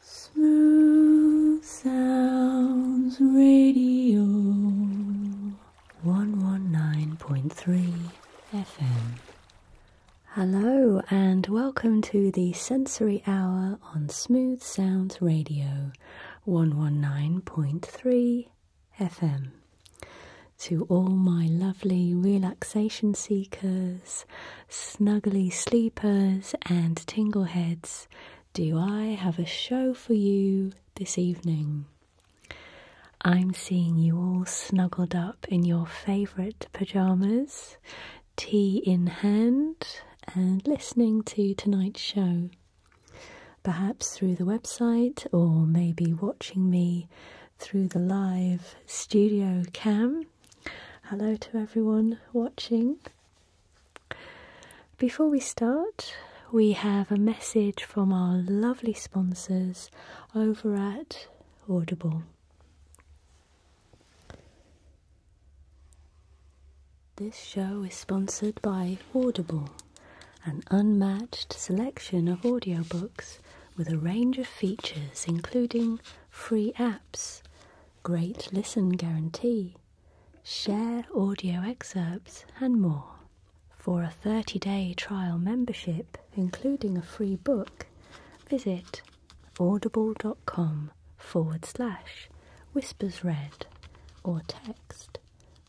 Smooth Sounds Radio 119.3 FM. Hello, and welcome to the Sensory Hour on Smooth Sounds Radio 119.3 FM. To all my lovely relaxation seekers snuggly sleepers and tingleheads, do I have a show for you this evening? I'm seeing you all snuggled up in your favourite pyjamas, tea in hand, and listening to tonight's show. Perhaps through the website, or maybe watching me through the live studio cam. Hello to everyone watching. Before we start, we have a message from our lovely sponsors over at Audible. This show is sponsored by Audible, an unmatched selection of audiobooks with a range of features including free apps, great listen guarantee, share audio excerpts, and more. For a 30 day trial membership, including a free book, visit audible.com forward slash whispers read or text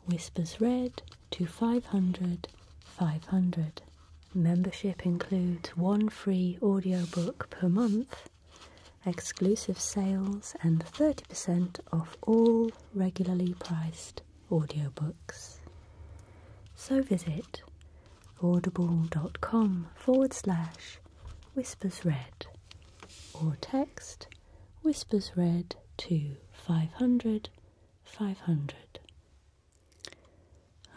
whispers read to 500 500. Membership includes one free audiobook per month exclusive sales, and 30% off all regularly priced audiobooks. So visit audible.com forward slash whispersread or text whispersread to 500 500.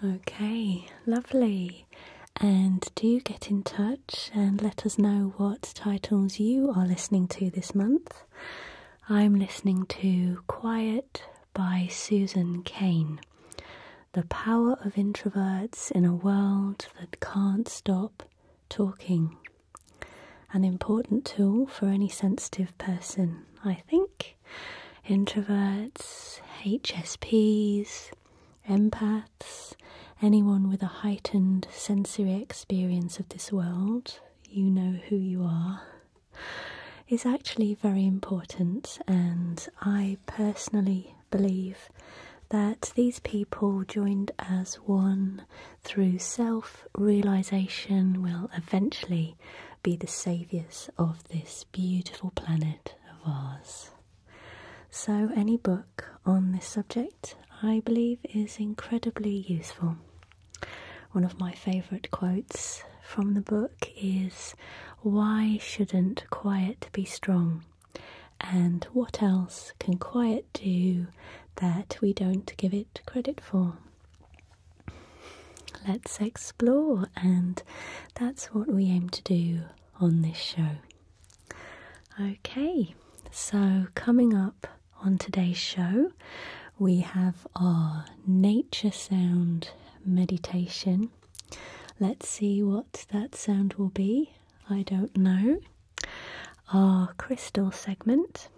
Okay, lovely. And do get in touch and let us know what titles you are listening to this month. I'm listening to Quiet by Susan Kane. The power of introverts in a world that can't stop talking. An important tool for any sensitive person, I think. Introverts, HSPs, empaths, anyone with a heightened sensory experience of this world, you know who you are, is actually very important. And I personally believe that these people joined as one through self realization will eventually be the saviours of this beautiful planet of ours. So, any book on this subject, I believe, is incredibly useful. One of my favourite quotes from the book is Why shouldn't quiet be strong? And what else can quiet do that we don't give it credit for? Let's explore, and that's what we aim to do on this show. Okay, so coming up on today's show, we have our nature sound meditation. Let's see what that sound will be. I don't know. Our crystal segment.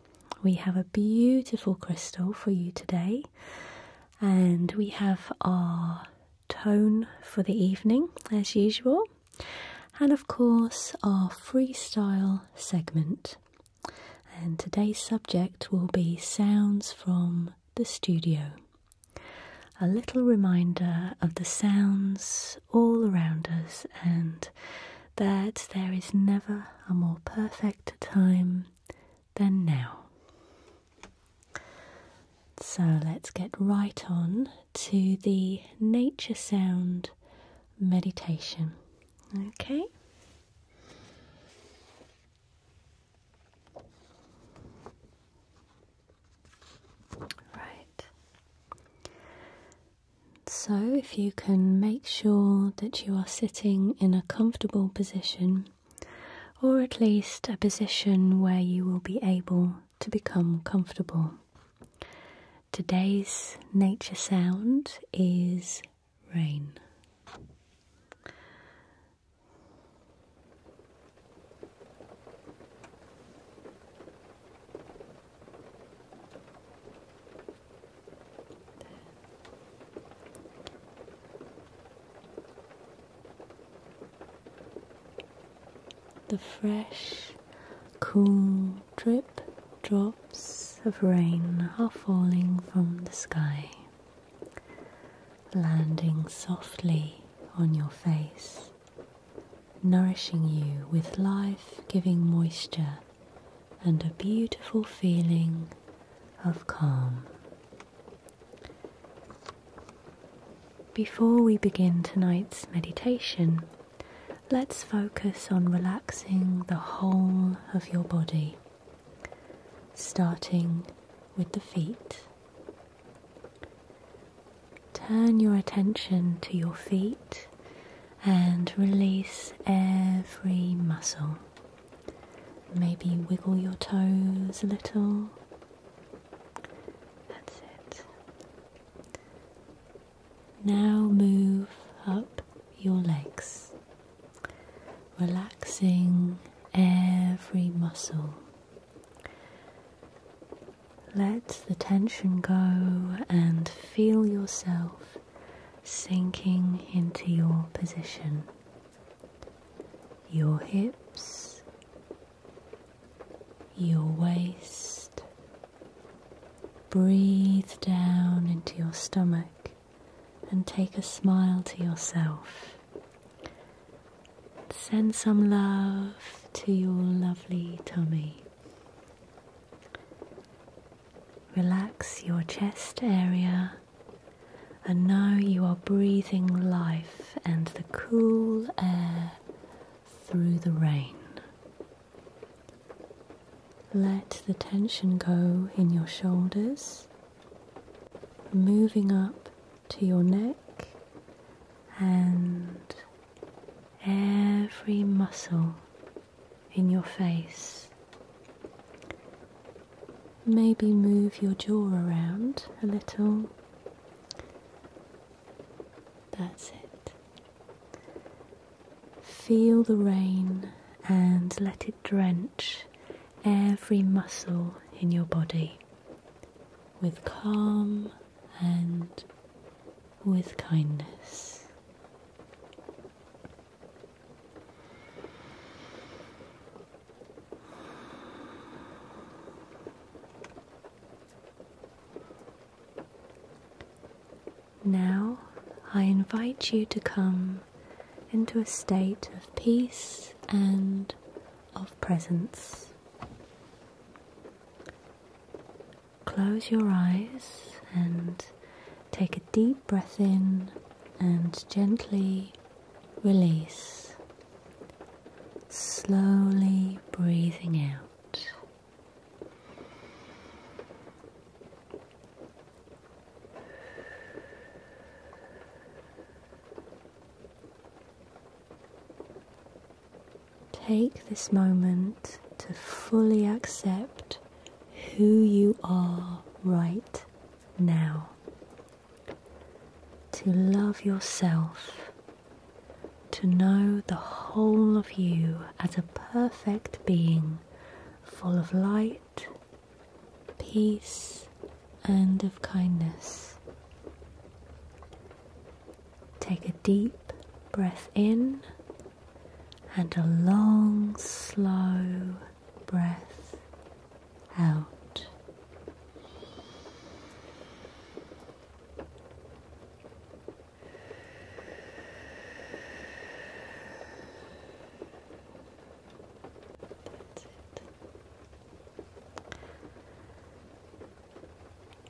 We have a beautiful crystal for you today, and we have our tone for the evening as usual and of course our freestyle segment. And today's subject will be sounds from the studio. A little reminder of the sounds all around us and that there is never a more perfect time than now. So let's get right on to the nature sound meditation. Okay. Right. So, if you can make sure that you are sitting in a comfortable position, or at least a position where you will be able to become comfortable. Today's nature sound is rain. The fresh, cool drip drops of rain are falling from the sky, landing softly on your face, nourishing you with life giving moisture and a beautiful feeling of calm. Before we begin tonight's meditation, let's focus on relaxing the whole of your body, starting with the feet. Turn your attention to your feet and release every muscle. Maybe wiggle your toes a little, that's it. Now move up your legs, relaxing every muscle. Let the tension go and feel yourself sinking into your position. Your hips your waist. Breathe down into your stomach and take a smile to yourself. Send some love to your lovely tummy. Relax your chest area and now you are breathing life and the cool air through the rain. Let the tension go in your shoulders, moving up to your neck and every muscle in your face. Maybe move your jaw around a little that's it. Feel the rain and let it drench every muscle in your body with calm and with kindness. Now I invite you to come into a state of peace and of presence. Close your eyes and take a deep breath in and gently release, slowly breathing out. Take this moment to fully accept who you are right now, to love yourself to know the whole of you as a perfect being, full of light, peace, and of kindness. Take a deep breath in and a long, slow breath out.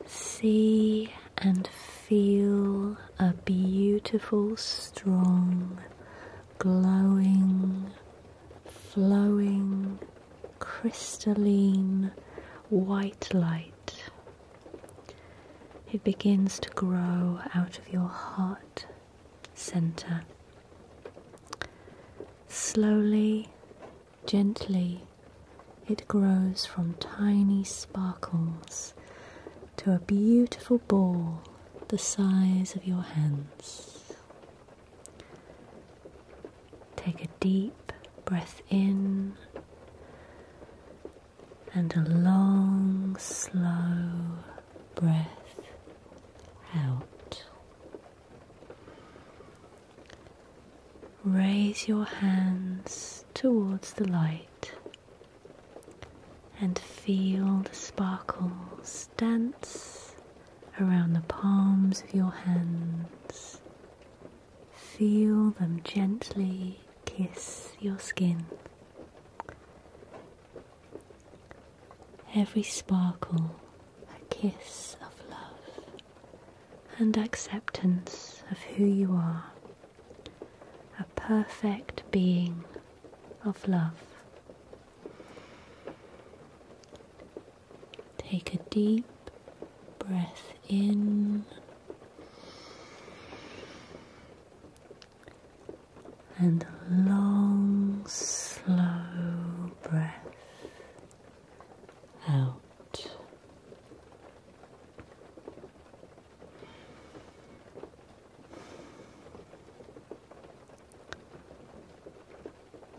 See and feel a beautiful, strong, glowing, flowing, crystalline white light it begins to grow out of your heart center. Slowly, gently, it grows from tiny sparkles to a beautiful ball the size of your hands. Take a deep breath in and a long, slow breath out. Raise your hands towards the light and feel the sparkles dance around the palms of your hands Feel them gently kiss your skin. Every sparkle, a kiss of love and acceptance of who you are, a perfect being of love. Take a deep breath in and a long, slow breath out.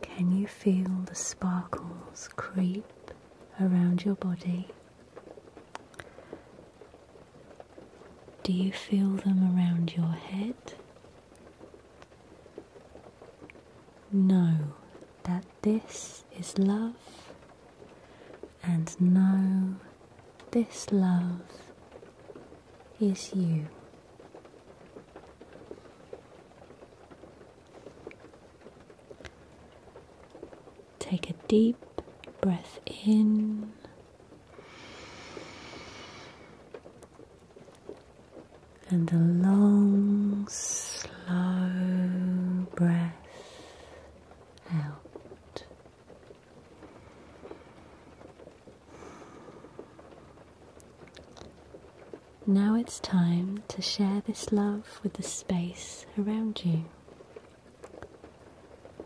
Can you feel the sparkles creep around your body? Do you feel them around your head? Know that this is love, and know this love is you. Take a deep breath in. And a long, slow breath out. Now it's time to share this love with the space around you.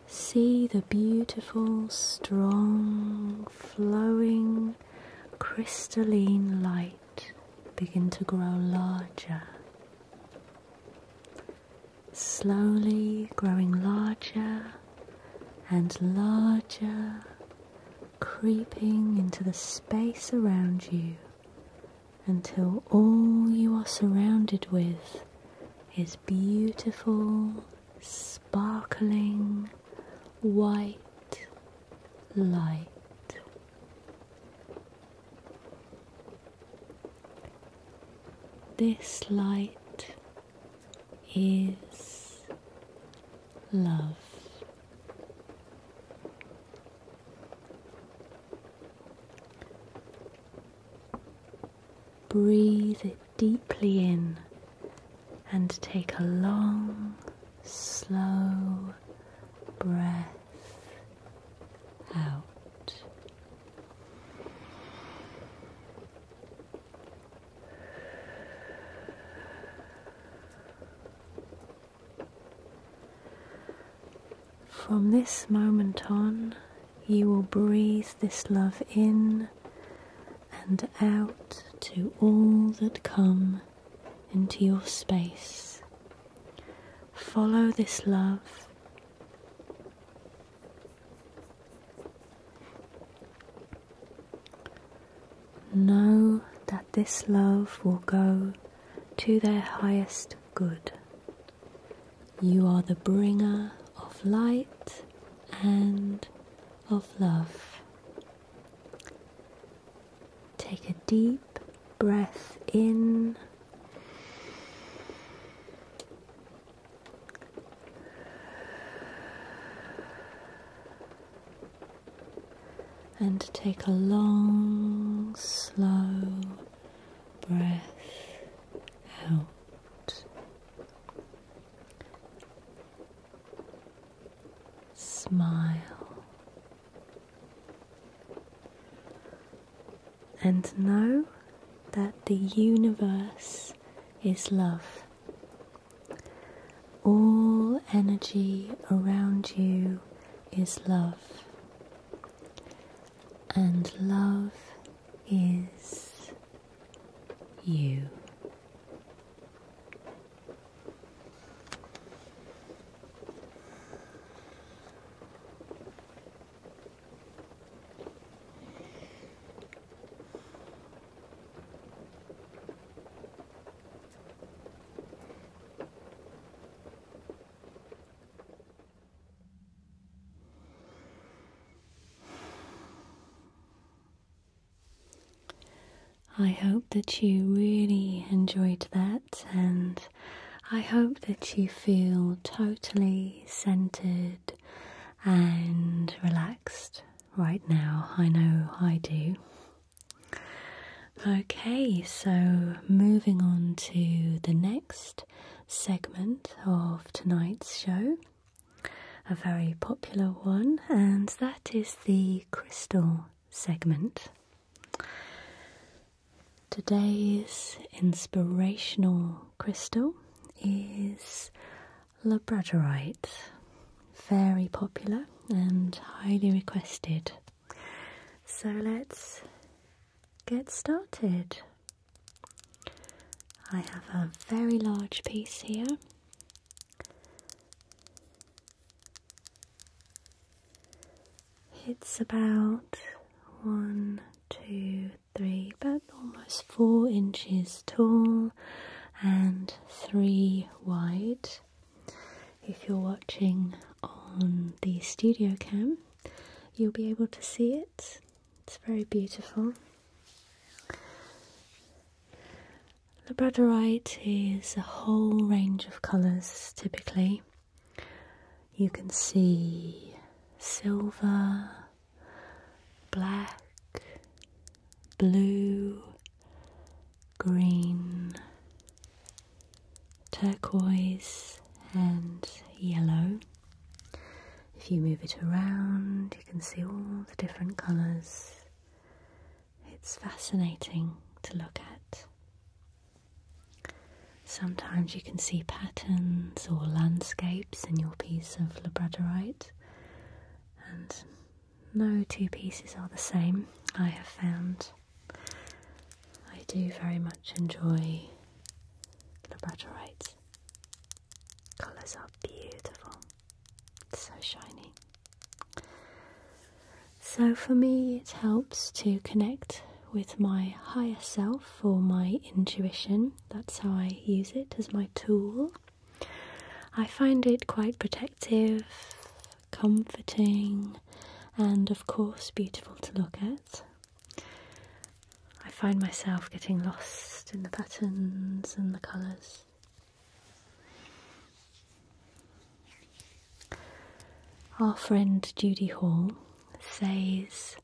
See the beautiful, strong, flowing, crystalline light begin to grow larger. Slowly growing larger and larger, creeping into the space around you until all you are surrounded with is beautiful, sparkling, white light. This light is love. Breathe it deeply in and take a long, slow breath out. From this moment on, you will breathe this love in and out to all that come into your space. Follow this love. Know that this love will go to their highest good. You are the bringer of light and of love. Take a deep breath in. And take a long, slow breath out. Smile and know that the universe is love. All energy around you is love and love is you. I hope that you really enjoyed that, and I hope that you feel totally centered and relaxed right now. I know I do. Okay, so moving on to the next segment of tonight's show, a very popular one, and that is the crystal segment. Today's inspirational crystal is labradorite, very popular and highly requested. So let's get started. I have a very large piece here. It's about one, two, three, but almost four inches tall and three wide. If you're watching on the studio cam, you'll be able to see it. It's very beautiful. Labradorite is a whole range of colours typically. You can see silver, black, blue, green, turquoise, and yellow. If you move it around, you can see all the different colours. It's fascinating to look at. Sometimes you can see patterns or landscapes in your piece of labradorite, and no two pieces are the same, I have found. I do very much enjoy labradorite. Colours are beautiful, it's so shiny. So, for me, it helps to connect with my higher self or my intuition. That's how I use it as my tool. I find it quite protective, comforting, and of course, beautiful to look at. I find myself getting lost in the patterns and the colours. Our friend Judy Hall says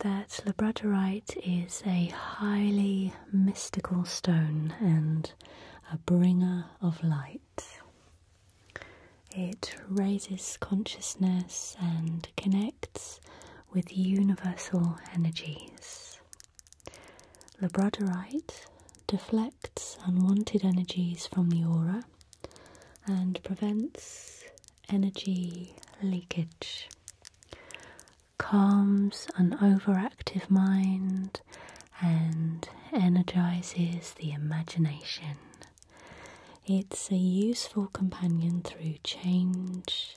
that labradorite is a highly mystical stone and a bringer of light. It raises consciousness and connects with universal energies. Labradorite deflects unwanted energies from the aura and prevents energy leakage. Calms an overactive mind and energizes the imagination. It's a useful companion through change,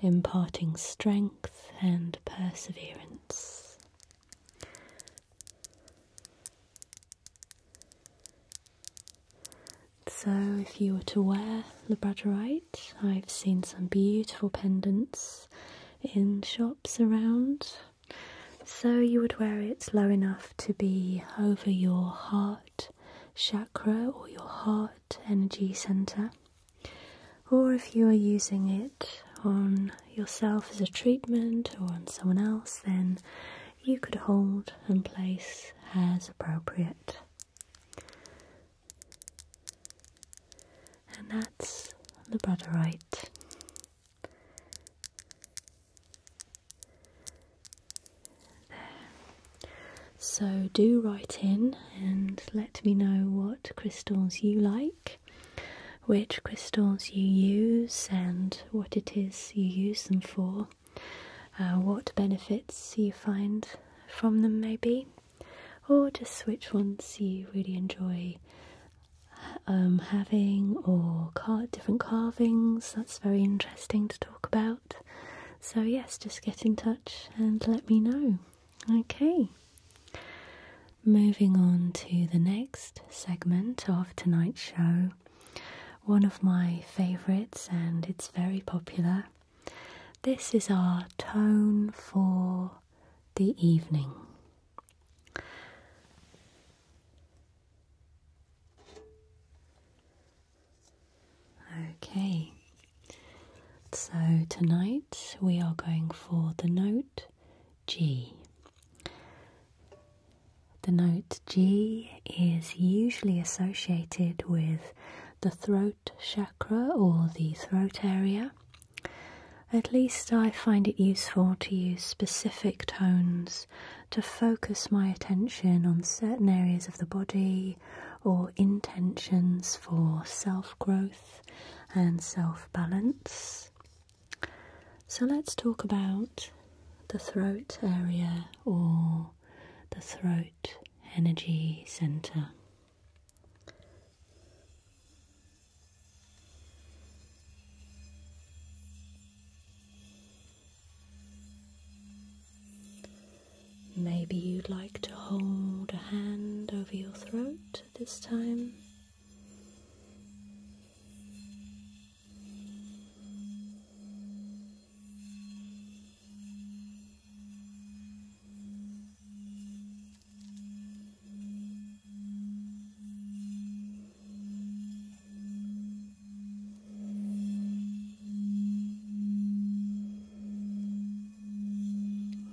imparting strength and perseverance. So, if you were to wear labradorite, I've seen some beautiful pendants in shops around. So, you would wear it low enough to be over your heart chakra or your heart energy center, or if you are using it on yourself as a treatment or on someone else, then you could hold and place as appropriate. And that's the brotherite. So do write in and let me know what crystals you like, which crystals you use, and what it is you use them for, uh, what benefits you find from them, maybe, or just which ones you really enjoy. Um, having or car different carvings that's very interesting to talk about so, yes, just get in touch and let me know. Okay. Moving on to the next segment of tonight's show, one of my favourites, and it's very popular. This is our tone for the evening. Okay, so tonight we are going for the note G. The note G is usually associated with the throat chakra or the throat area. At least I find it useful to use specific tones to focus my attention on certain areas of the body or intentions for self growth and self balance. So, let's talk about the throat area or the throat energy center. Maybe you'd like to hold a hand over your throat this time.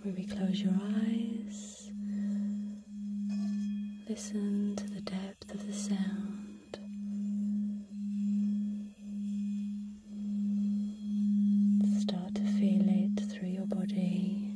Maybe close your eyes, listen to the depth of the sound. Start to feel it through your body.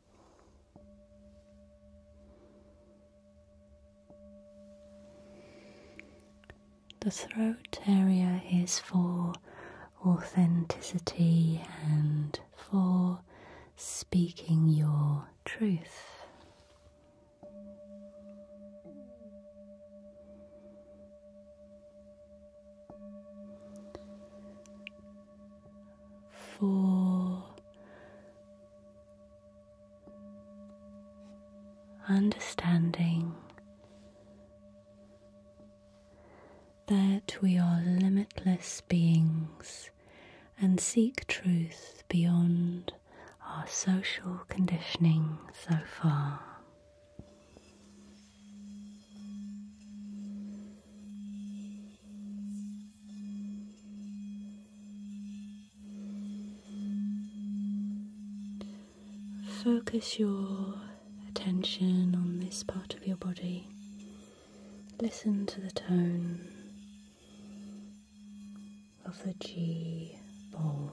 The throat area is for authenticity and for speaking your truth. For Understanding that we are limitless beings and seek truth beyond our social conditioning so far. Focus your attention on this part of your body. Listen to the tone of the G ball.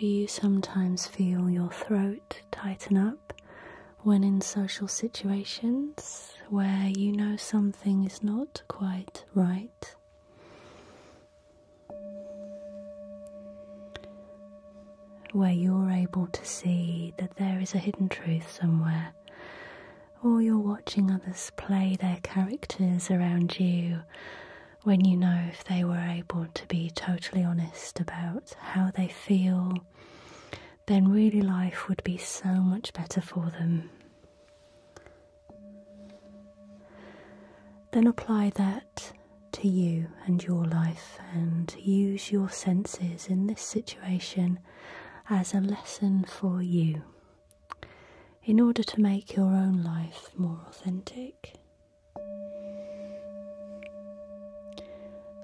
Do you sometimes feel your throat tighten up when in social situations where you know something is not quite right? where you're able to see that there is a hidden truth somewhere, or you're watching others play their characters around you when you know if they were able to be totally honest about how they feel, then really life would be so much better for them. Then apply that to you and your life, and use your senses in this situation as a lesson for you in order to make your own life more authentic.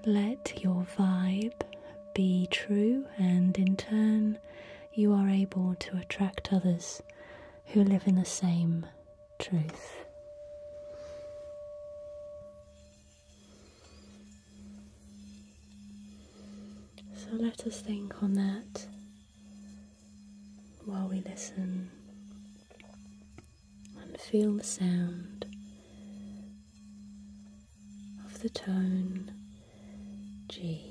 Let your vibe be true, and in turn, you are able to attract others who live in the same truth. So let us think on that while we listen and feel the sound of the tone G.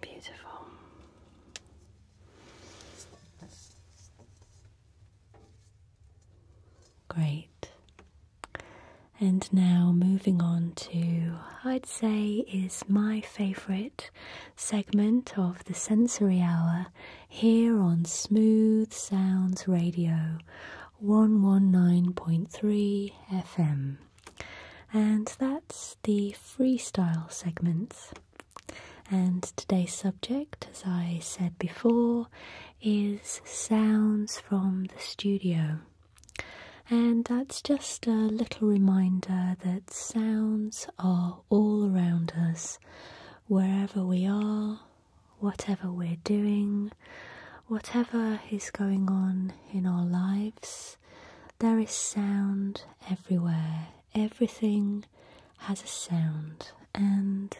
Beautiful. Great. And now moving on to, I'd say, is my favourite segment of the sensory hour here on Smooth Sounds Radio 119.3 FM. And that's the freestyle segments. And today's subject, as I said before, is sounds from the studio. And that's just a little reminder that sounds are all around us, wherever we are, whatever we're doing, whatever is going on in our lives there is sound everywhere. Everything has a sound, and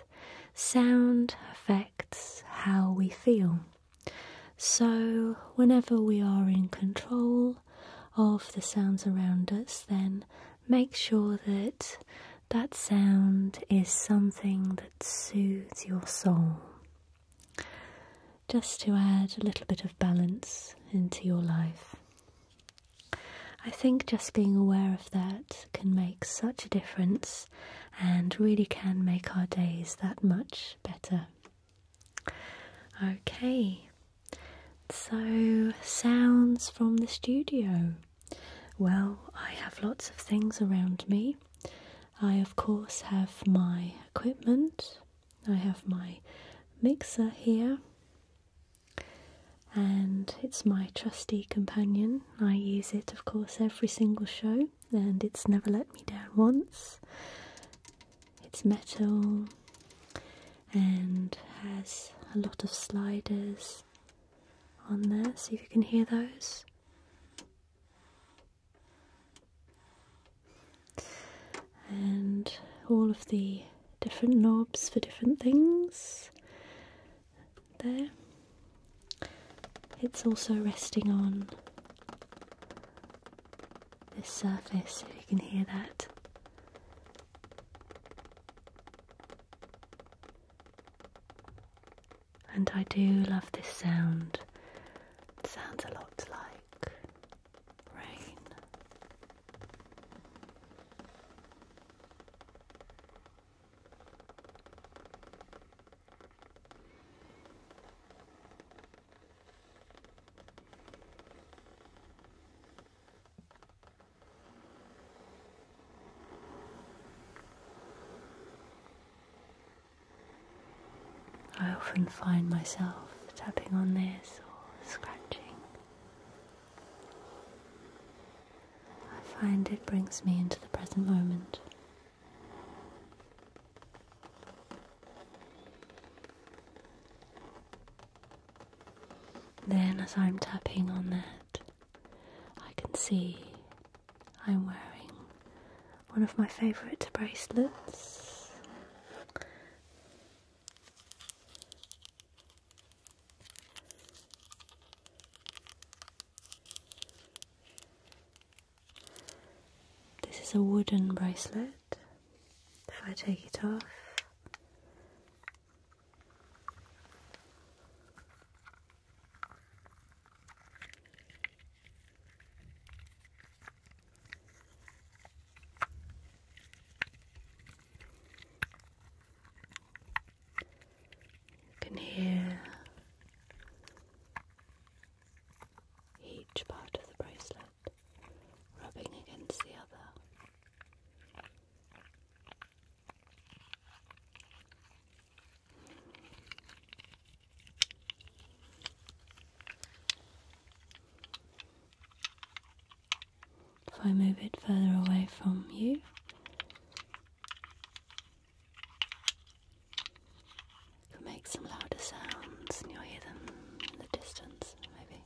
sound affects how we feel. So, whenever we are in control of the sounds around us, then make sure that that sound is something that soothes your soul just to add a little bit of balance into your life. I think just being aware of that can make such a difference and really can make our days that much better. Okay, so sounds from the studio. Well, I have lots of things around me. I, of course, have my equipment, I have my mixer here and it's my trusty companion. I use it, of course, every single show and it's never let me down once. It's metal and has a lot of sliders on there. See if you can hear those and all of the different knobs for different things there. It's also resting on this surface, if you can hear that. And I do love this sound. It sounds a lot like rain. I often find myself tapping on this or scratching I find it brings me into the present moment. Then, as I'm tapping on that, I can see I'm wearing one of my favourite bracelets. This is a wooden bracelet. If I take it off, can hear each part of the bracelet rubbing against the other. If I move it further away from you, you can make some louder sounds and you'll hear them in the distance, maybe.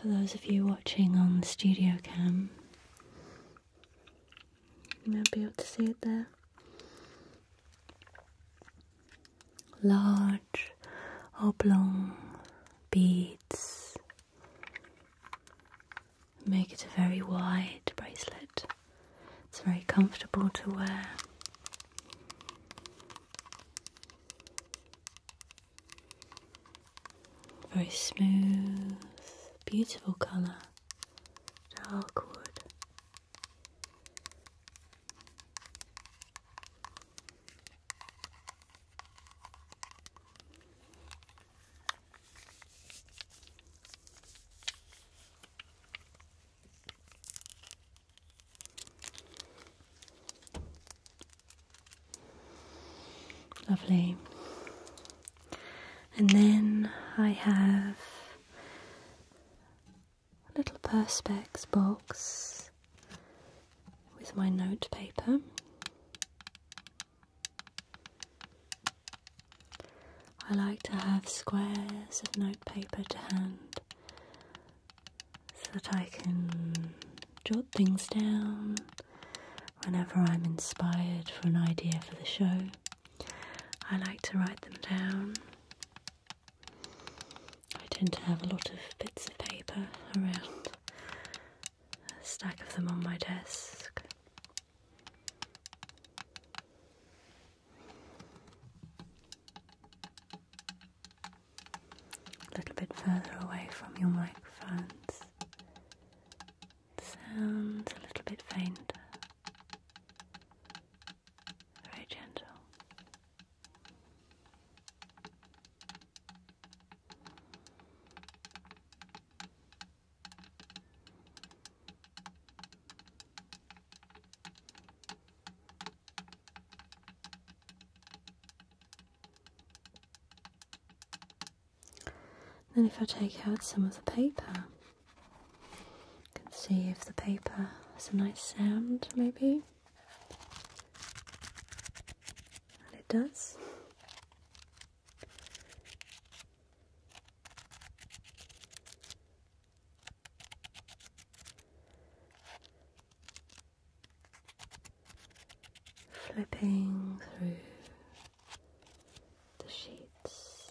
For those of you watching on the studio cam, you might be able to see it there. Large oblong beads Make it a very wide bracelet. It's very comfortable to wear. Very smooth, beautiful colour, dark wood. Lovely. And then I have a little Perspex box with my note paper. I like to have squares of notepaper to hand so that I can jot things down whenever I'm inspired for an idea for the show. I like to write them down. I tend to have a lot of bits of paper around stack of them on my desk. A little bit further away from your microphones. sound's a little bit fainter. Very gentle. Then, if I take out some of the paper, you can see if the paper has a nice sound, maybe. And it does. Flipping through the sheets.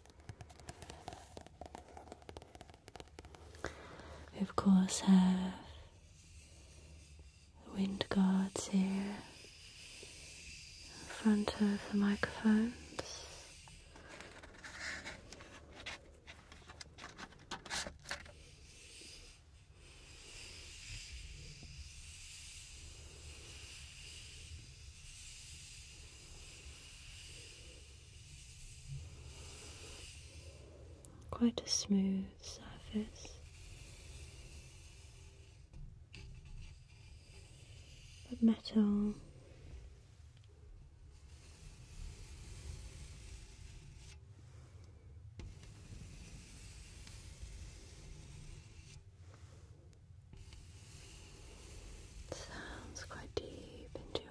We, of course, have the wind guards here in front of the microphones. Quite a smooth surface, but metal sounds quite deep and your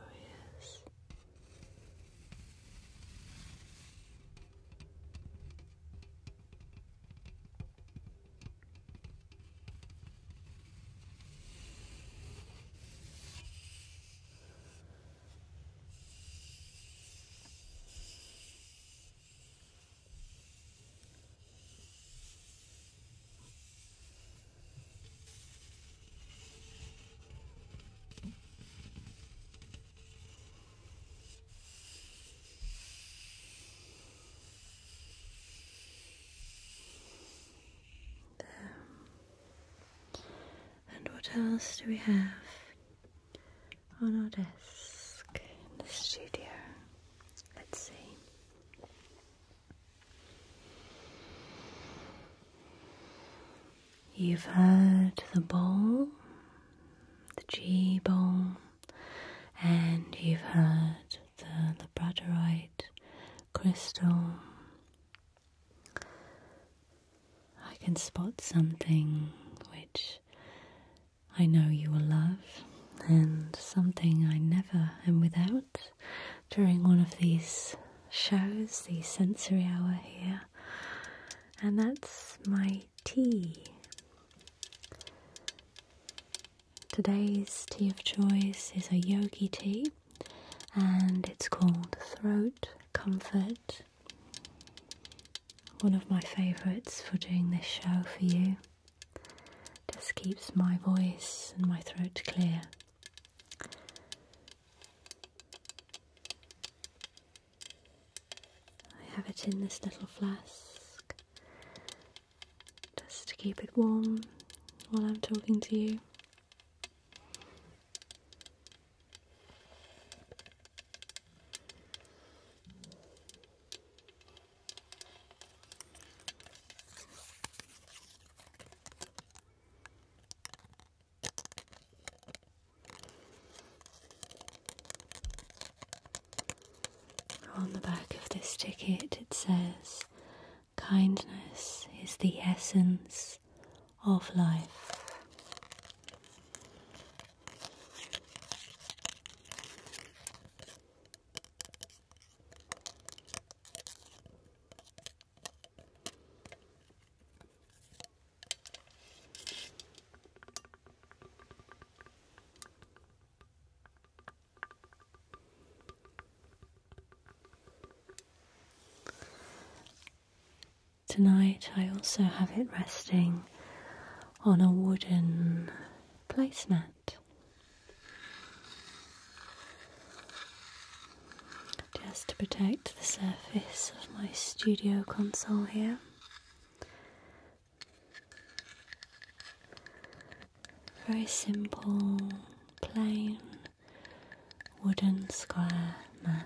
and what else do we have on our desk in the studio? Let's see. You've heard the ball, the G ball, and you've heard the labradorite crystal. I can spot something which I know you will love, and something I never am without during one of these shows, the sensory hour here, and that's my tea. Today's tea of choice is a yogi tea, and it's called Throat Comfort. One of my favourites for doing this show for you. Just keeps my voice and my throat clear. I have it in this little flask just to keep it warm while I'm talking to you. On the back of this ticket, it says, Kindness is the essence of life. Tonight I also have it resting on a wooden placemat just to protect the surface of my studio console here. Very simple, plain wooden square mat.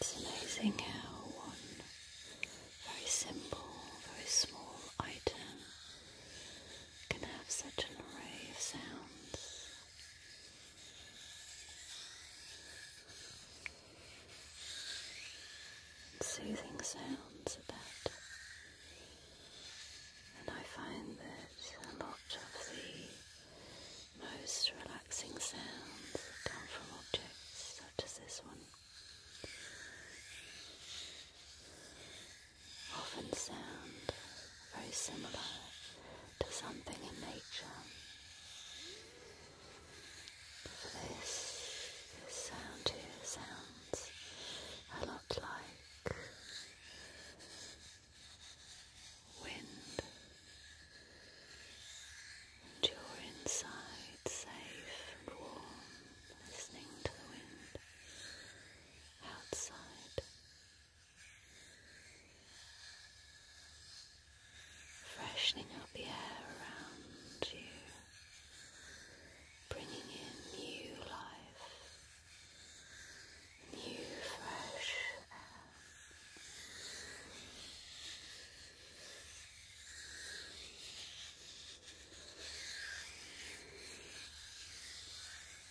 It's amazing how one very simple, very small item can have such an array of sounds. soothing sounds about. And I find that a lot of the most relaxing sounds come from objects such as this one often sound very similar to something in nature. this, sound here sounds a lot like wind. And you're inside, safe warm, listening to the wind outside. Freshening up the air around you, bringing in new life, new fresh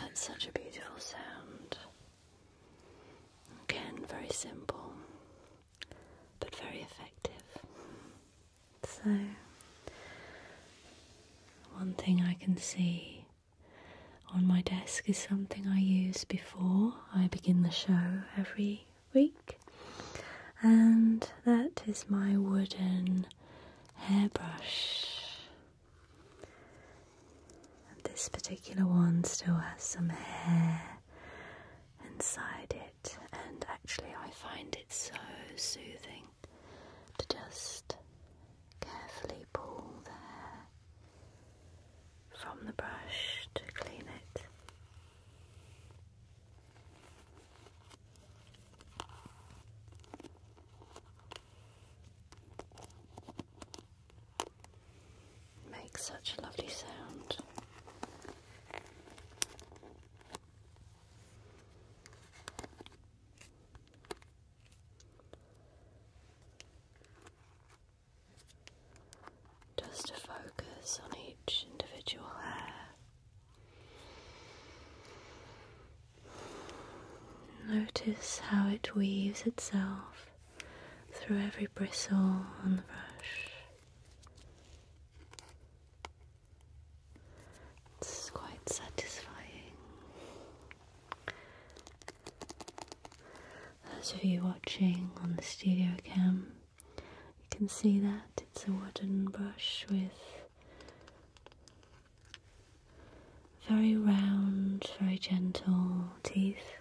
That's such a beautiful sound. Again, very simple but very effective. So, one thing I can see on my desk is something I use before I begin the show every week, and that is my wooden hairbrush. And this particular one still has some hair inside it, and actually, I find it so soothing to just carefully pull the hair from the brush to clean it. Makes such a lovely sound just to focus on each individual hair. Notice how it weaves itself through every bristle on the brush. It's quite satisfying. Those of you watching on the studio cam, you can see that it's a wooden brush with very round, very gentle teeth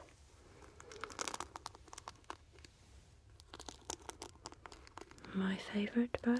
my favorite brush.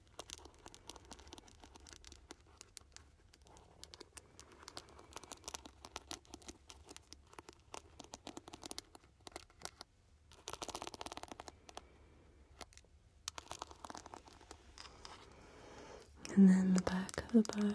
And then the back of the brush.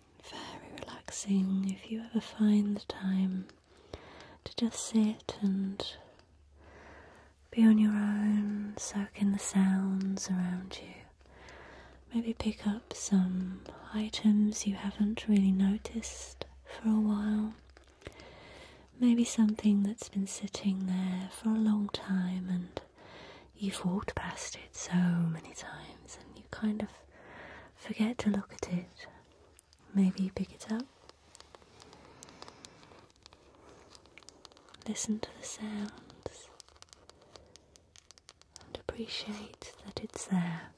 very relaxing if you ever find the time to just sit and be on your own, soaking the sounds around you. Maybe pick up some items you haven't really noticed for a while. Maybe something that's been sitting there for a long time and you've walked past it so many times and you kind of forget to look at it. Maybe pick it up. Listen to the sounds and appreciate that it's there.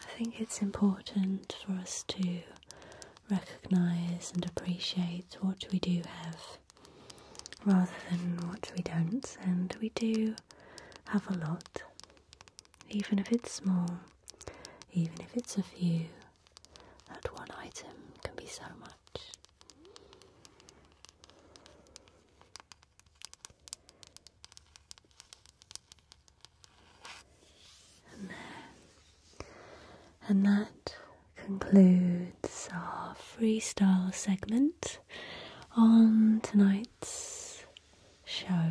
I think it's important for us to recognise and appreciate what we do have rather than what we don't. And we do have a lot, even if it's small, even if it's a few, that one item can be so much. And that concludes our freestyle segment on tonight's show.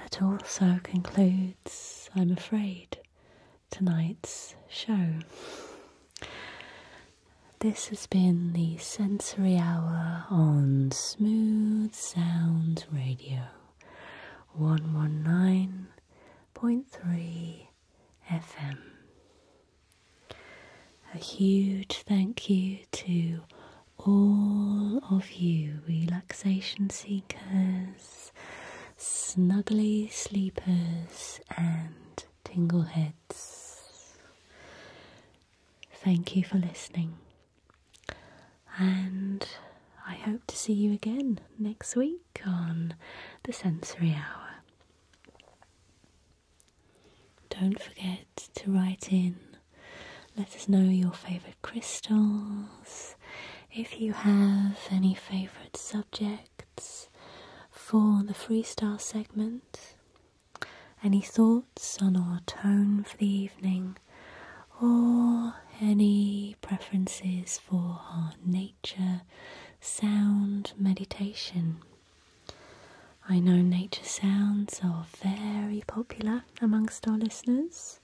That also concludes, I'm afraid, tonight's show. This has been the Sensory Hour on Smooth Sound Radio. 119.3 FM. A huge thank you to all of you, relaxation seekers, snuggly sleepers, and tingleheads. Thank you for listening. And I hope to see you again next week on the Sensory Hour. Don't forget to write in, let us know your favourite crystals, if you have any favourite subjects for the freestyle segment, any thoughts sun or tone for the evening, or any preferences for art, nature, sound, meditation. I know nature sounds are very popular amongst our listeners,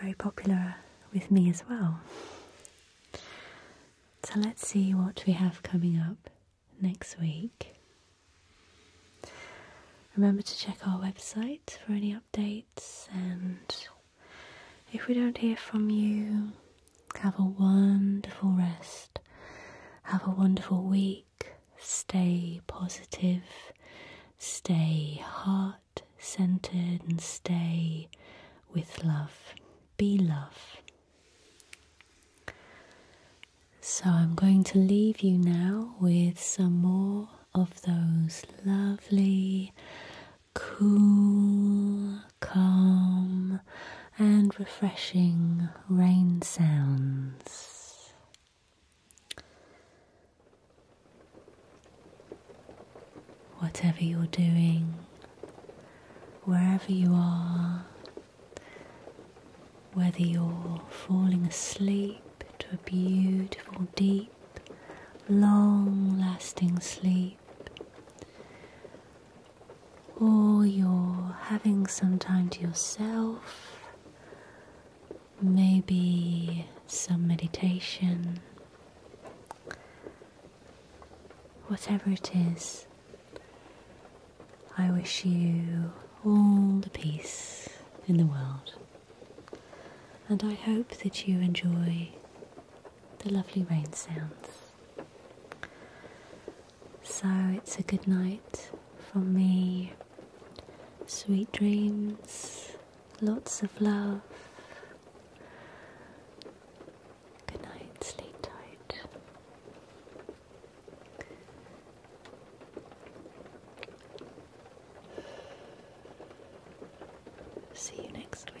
very popular with me as well. So let's see what we have coming up next week. Remember to check our website for any updates, and if we don't hear from you, have a wonderful rest. Have a wonderful week. Stay positive, stay heart centered, and stay with love. Be love. So I'm going to leave you now with some more of those lovely, cool, calm, and refreshing rain sounds. Whatever you're doing, wherever you are, whether you're falling asleep to a beautiful, deep, long lasting sleep, or you're having some time to yourself, maybe some meditation. Whatever it is, I wish you all the peace in the world and I hope that you enjoy the lovely rain sounds. So it's a good night from me. Sweet dreams, lots of love. Good night, sleep tight. See you next week.